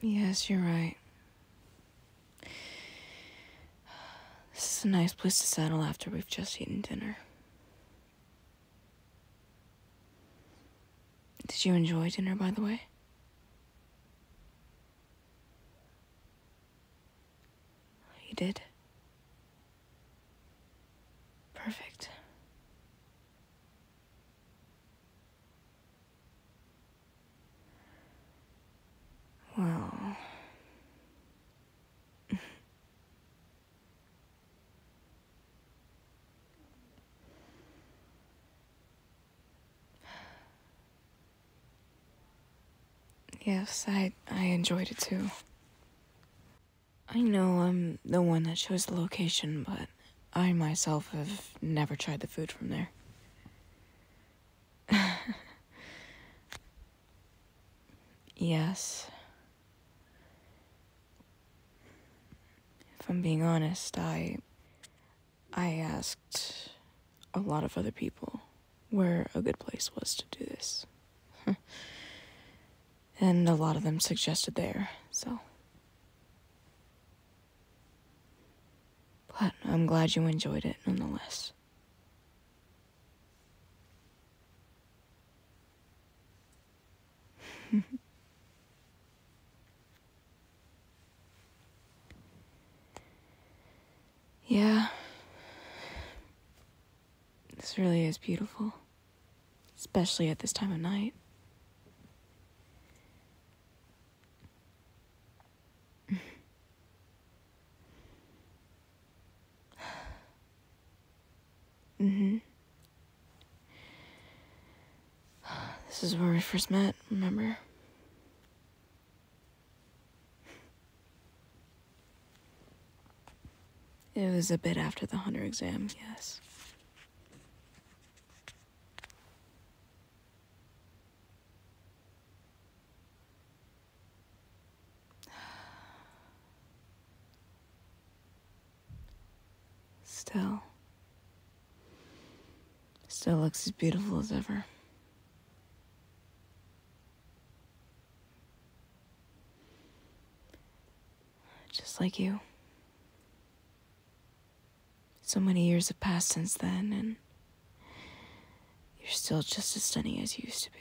Yes, you're right. This is a nice place to settle after we've just eaten dinner. Did you enjoy dinner, by the way? You did? Perfect. Well. yes, I, I enjoyed it too. I know I'm the one that chose the location, but I myself have never tried the food from there. yes. If I'm being honest, I. I asked a lot of other people where a good place was to do this. and a lot of them suggested there, so. But I'm glad you enjoyed it nonetheless. yeah. This really is beautiful, especially at this time of night mm-hmm. This is where we first met, remember? It was a bit after the Hunter exam, yes. Still, still looks as beautiful as ever. Just like you. So many years have passed since then, and you're still just as stunning as you used to be.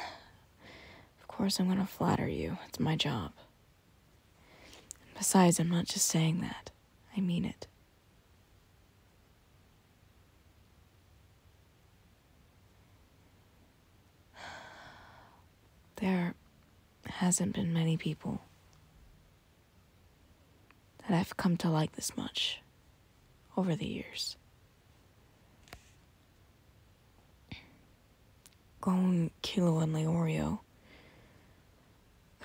Of course, I'm gonna flatter you. It's my job besides, I'm not just saying that, I mean it. There hasn't been many people that I've come to like this much over the years. Gone, Kilo, and Leorio.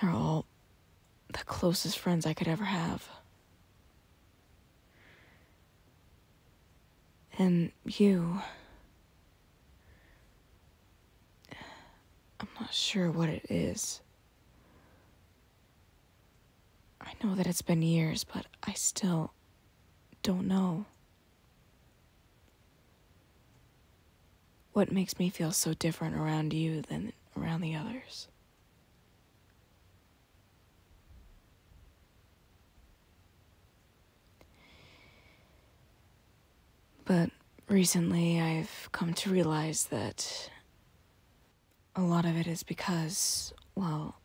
They're all the closest friends I could ever have. And you. I'm not sure what it is. I know that it's been years, but I still don't know. What makes me feel so different around you than around the others? But recently I've come to realize that a lot of it is because, well,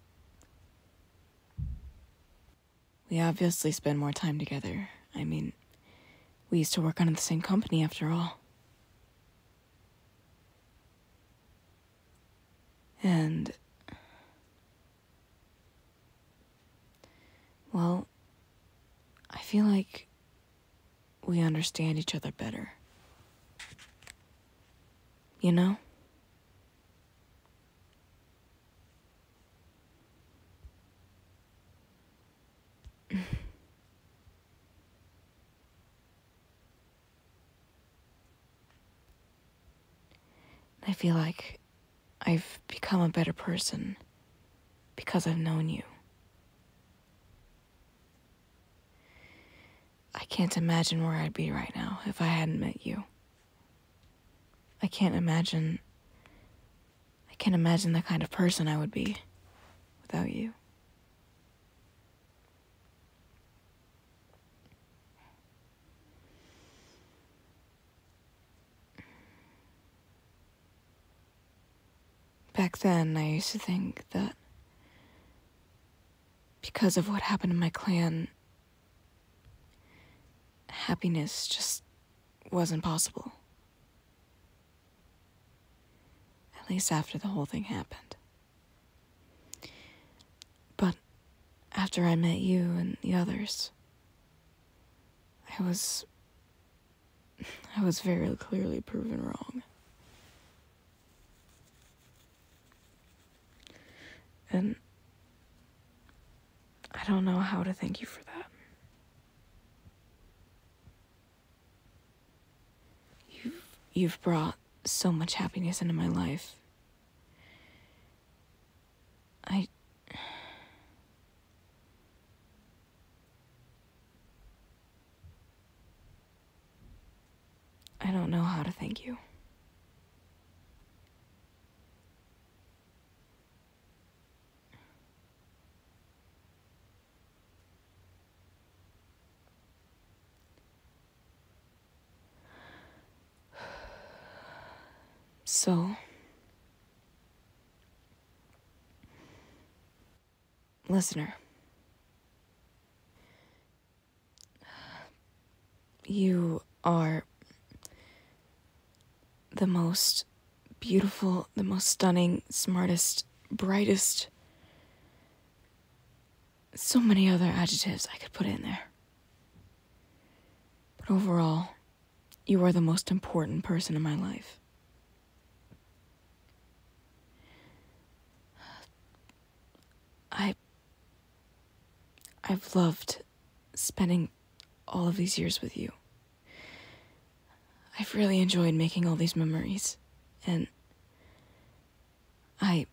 we obviously spend more time together. I mean, we used to work under the same company after all. And. Well, I feel like we understand each other better. You know? I feel like I've become a better person because I've known you. I can't imagine where I'd be right now if I hadn't met you. I can't imagine. I can't imagine the kind of person I would be without you. Back then, I used to think that because of what happened in my clan, Happiness just wasn't possible. At least after the whole thing happened. But after I met you and the others, I was. I was very clearly proven wrong. And I don't know how to thank you for that. You've, you've brought so much happiness into my life. I. I don't know how to thank you. So, listener, you are the most beautiful, the most stunning, smartest, brightest. So many other adjectives I could put in there. But overall, you are the most important person in my life. I. I've loved spending all of these years with you. I've really enjoyed making all these memories, and I.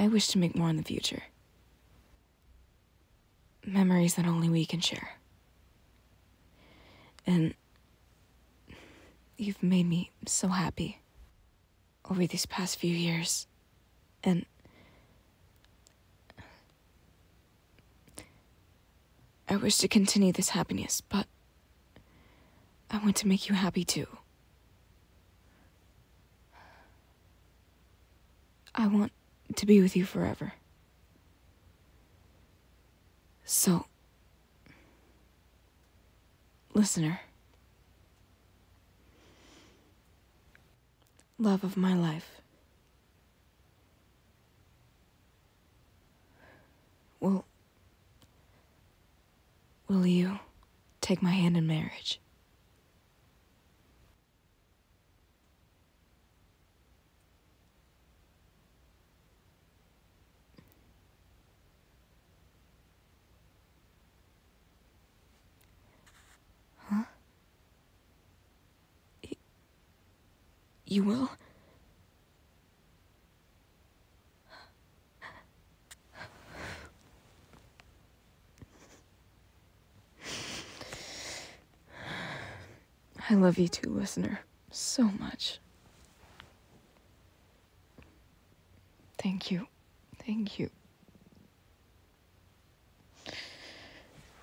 I wish to make more in the future. Memories that only we can share. And you've made me so happy over these past few years. And I wish to continue this happiness, but I want to make you happy too. I want to be with you forever. So, Listener. Love of my life. Will. Will you take my hand in marriage? Huh? you will? I love you too, listener, so much. Thank you. Thank you.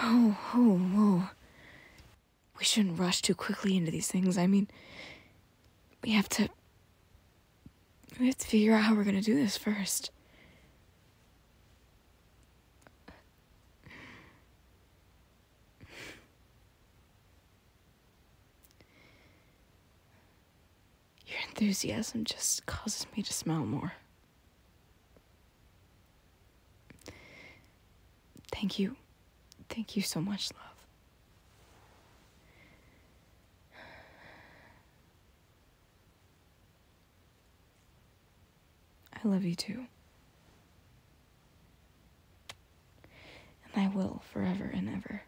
Whoa, whoa, whoa we shouldn't rush too quickly into these things. I mean, we have to we have to figure out how we're going to do this first. Your enthusiasm just causes me to smile more. Thank you. Thank you so much, love. I love you too. And I will forever and ever.